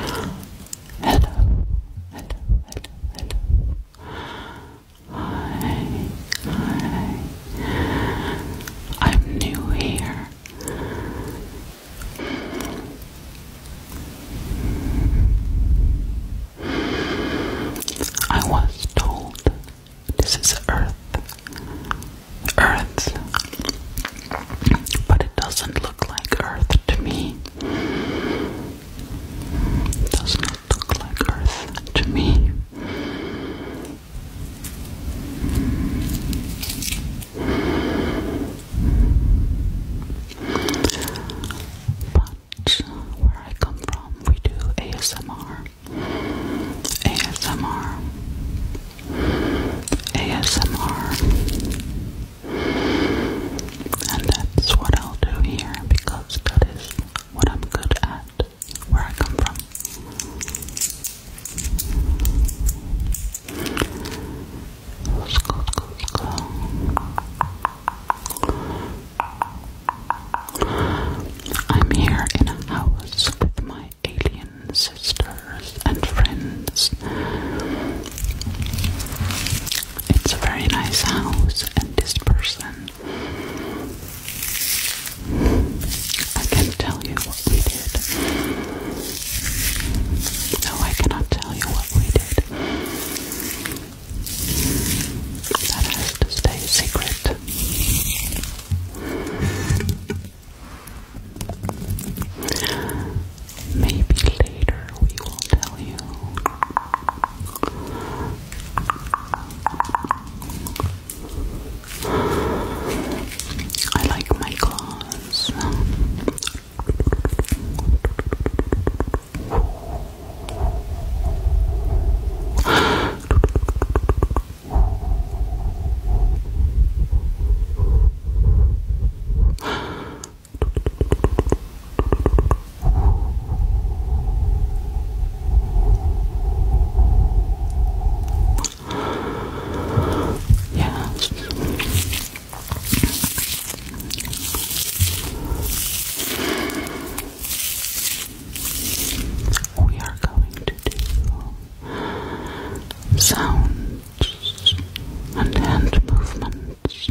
Hello, hello, hello, hello. Hi, hi. I'm new here. I was told this is Earth. Earth. But it doesn't look like Earth to me. Does not look like Earth to me. But where I come from, we do ASMR. ASMR. ASMR. And that's what I'll do here because that is what I'm good at, where I come from. I'm here in a house with my alien sisters and friends. It's a very nice house, and this person. I can tell you what we did. No, I cannot tell you what we did. That has to stay secret. Maybe later we will tell you. I like my claws. Yes. We are going to do sounds and hand movements.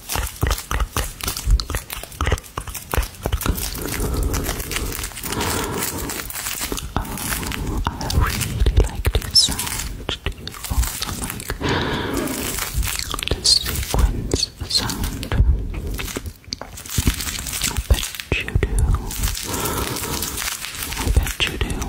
Oh, I really like this sound. Do you also like the sequence sound? I bet you do. I bet you do.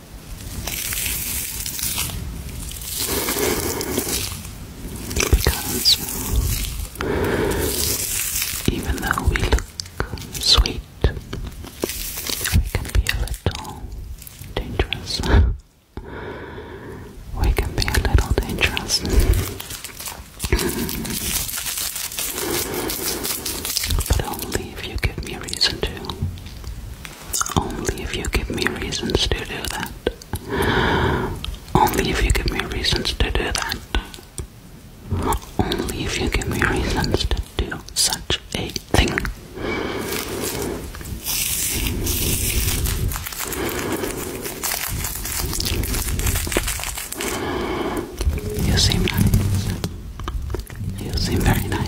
Because even though we look sweet, we can be a little dangerous. we can be a little dangerous. but only if you give me reason to. Only if you give me reasons to do that. Only if you give me reasons to do that. Only if you give me reasons to do such a thing. You seem nice. You seem very nice.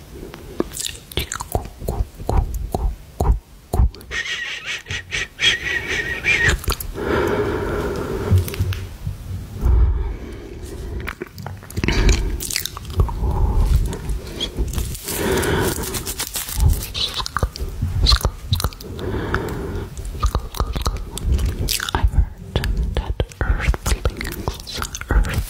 I heard that earthlings, earthlings,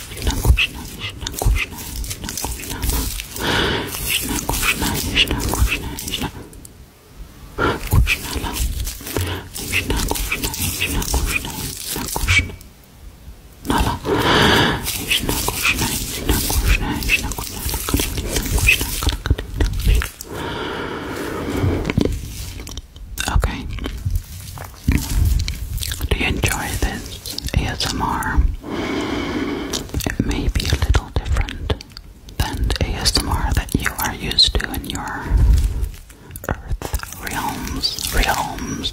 Okay. Do you enjoy this ASMR? It may be a little different than ASMR that you are used to in your earth realms, realms.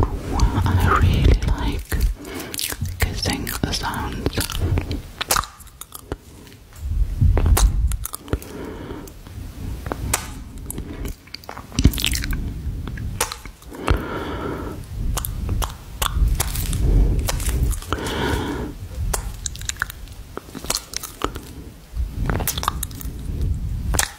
I really like kissing the sounds.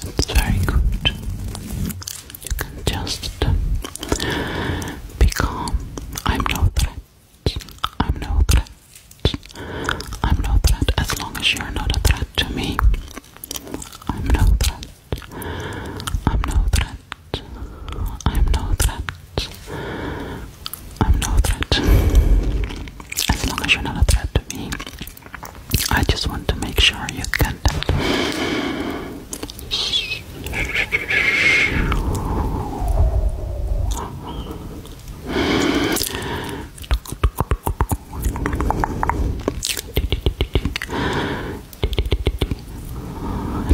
It's very good. You can just be calm. I'm no threat. I'm no threat. I'm no threat as long as you're not a threat to me. I'm no threat. I'm no threat. I'm no threat. I'm no threat. As long as you're not a threat to me, I just want to make sure you get that.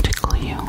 Tickle you,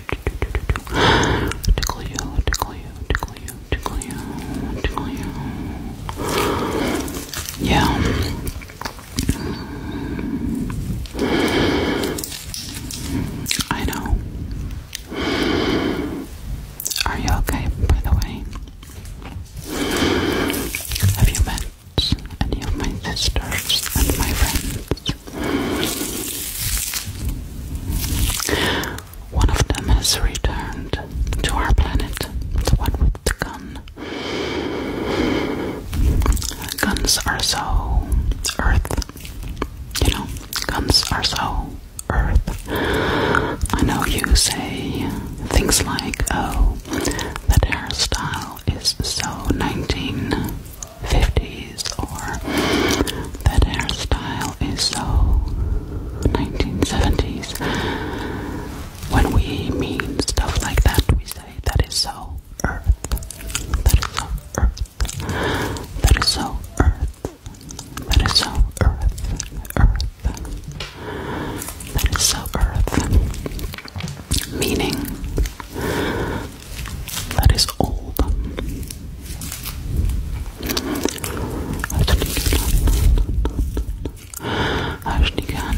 Tickle you, tickle you, tickle you, tickle you, tickle you. Yeah. I know. Are you okay, by the way? Have you met any of my sisters and my friends? One of them has returned to our planet, the one with the gun. Guns are so earth, you know, guns are so earth. I know you say things like, oh, that hairstyle is so 19. 50s, or that hairstyle is so 1970s. When we mean stuff like that, we say that is so earth. That is so earth. That is so earth. That is so earth. Earth. That is so earth. Meaning that is old. Arschnikan,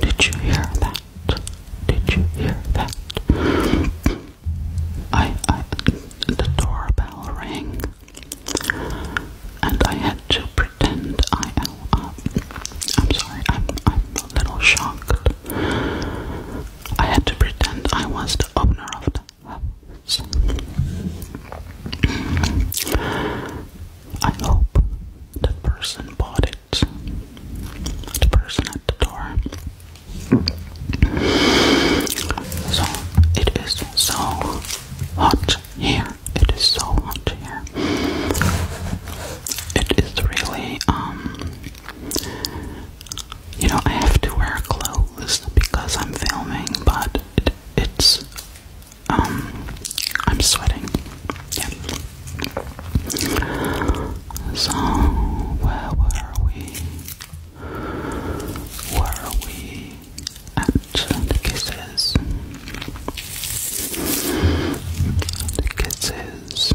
did you hear that? Did you hear that? I, I the doorbell rang, and I had to pretend I am. Uh, I'm sorry. I'm I'm a little shocked. I had to pretend I was the owner of the house. I hope the person bought it. The person at the door. So it is so hot here. It is so hot here. It is really um you know, I have to wear clothes because I'm filming, but it's um I'm sweating. Yeah. So where were we? Were we at the kisses? The kisses.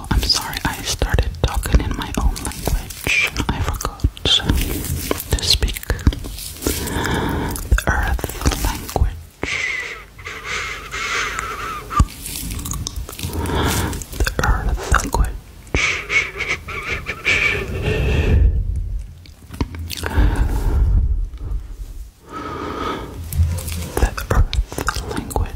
I'm sorry, I started talking in my own language. I forgot to speak the earth language. The earth language. The earth language.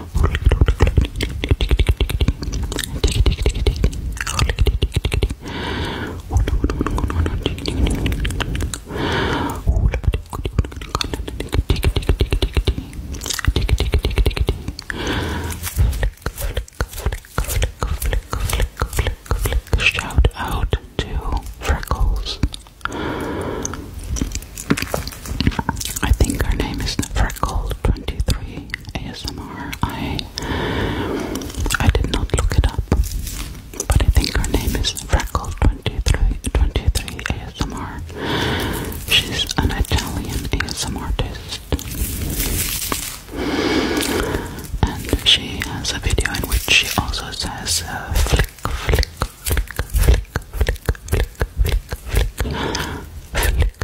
Shout out to Freckles. I think her name is Freckle23 ASMR. I I did not look it up, but I think her name is Freckle23 ASMR. She's an Italian ASMR artist, and she has a video in which she also says uh, flick, flick, flick, flick, flick, flick, flick, flick, flick.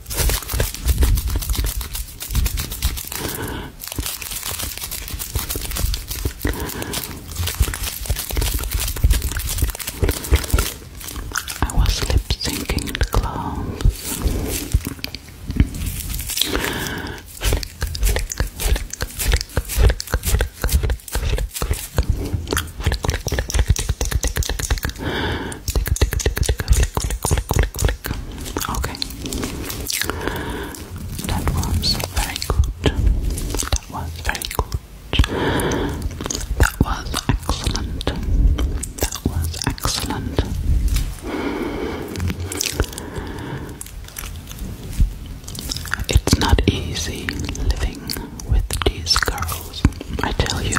I was lip syncing the clowns. Tick, tick, tick, tick, flick, flick, flick, flick, flick. Okay. That was very good. That was very good. That was excellent. That was excellent. It's not easy living with these girls, I tell you.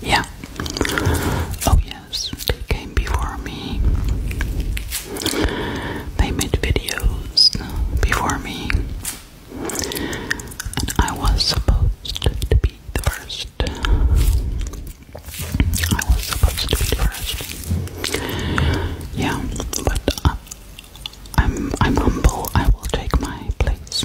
Yeah. Oh, yes, they came before me. They made videos uh, before me. And I was supposed to be the first. I was supposed to be first. Yeah, but uh, I'm I'm humble. I will take my place.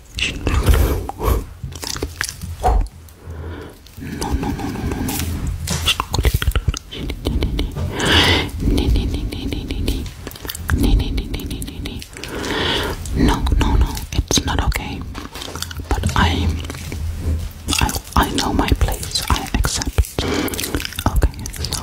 No, no, no, no, no, no. No, no, no, it's not okay. But I, I, I know my place. I accept. Okay, so.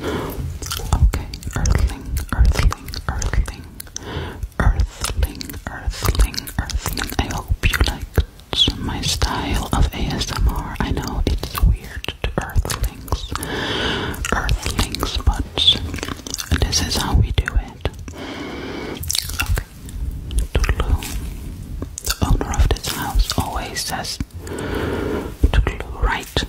Okay, earthling, earthling, earthling, earthling, earthling, earthling. I hope you liked my style of ASMR. I know it's weird to earthlings, earthlings, but this is how we do it. Okay, Tulu, the owner of this house, always says Tulu, right?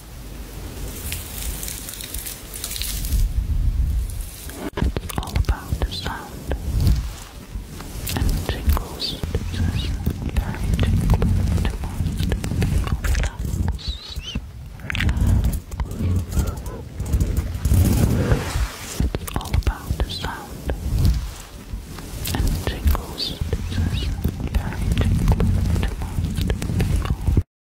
It's all about the sound and tingles. It's very tingling to It's all about the sound and tingles. It's very tingling to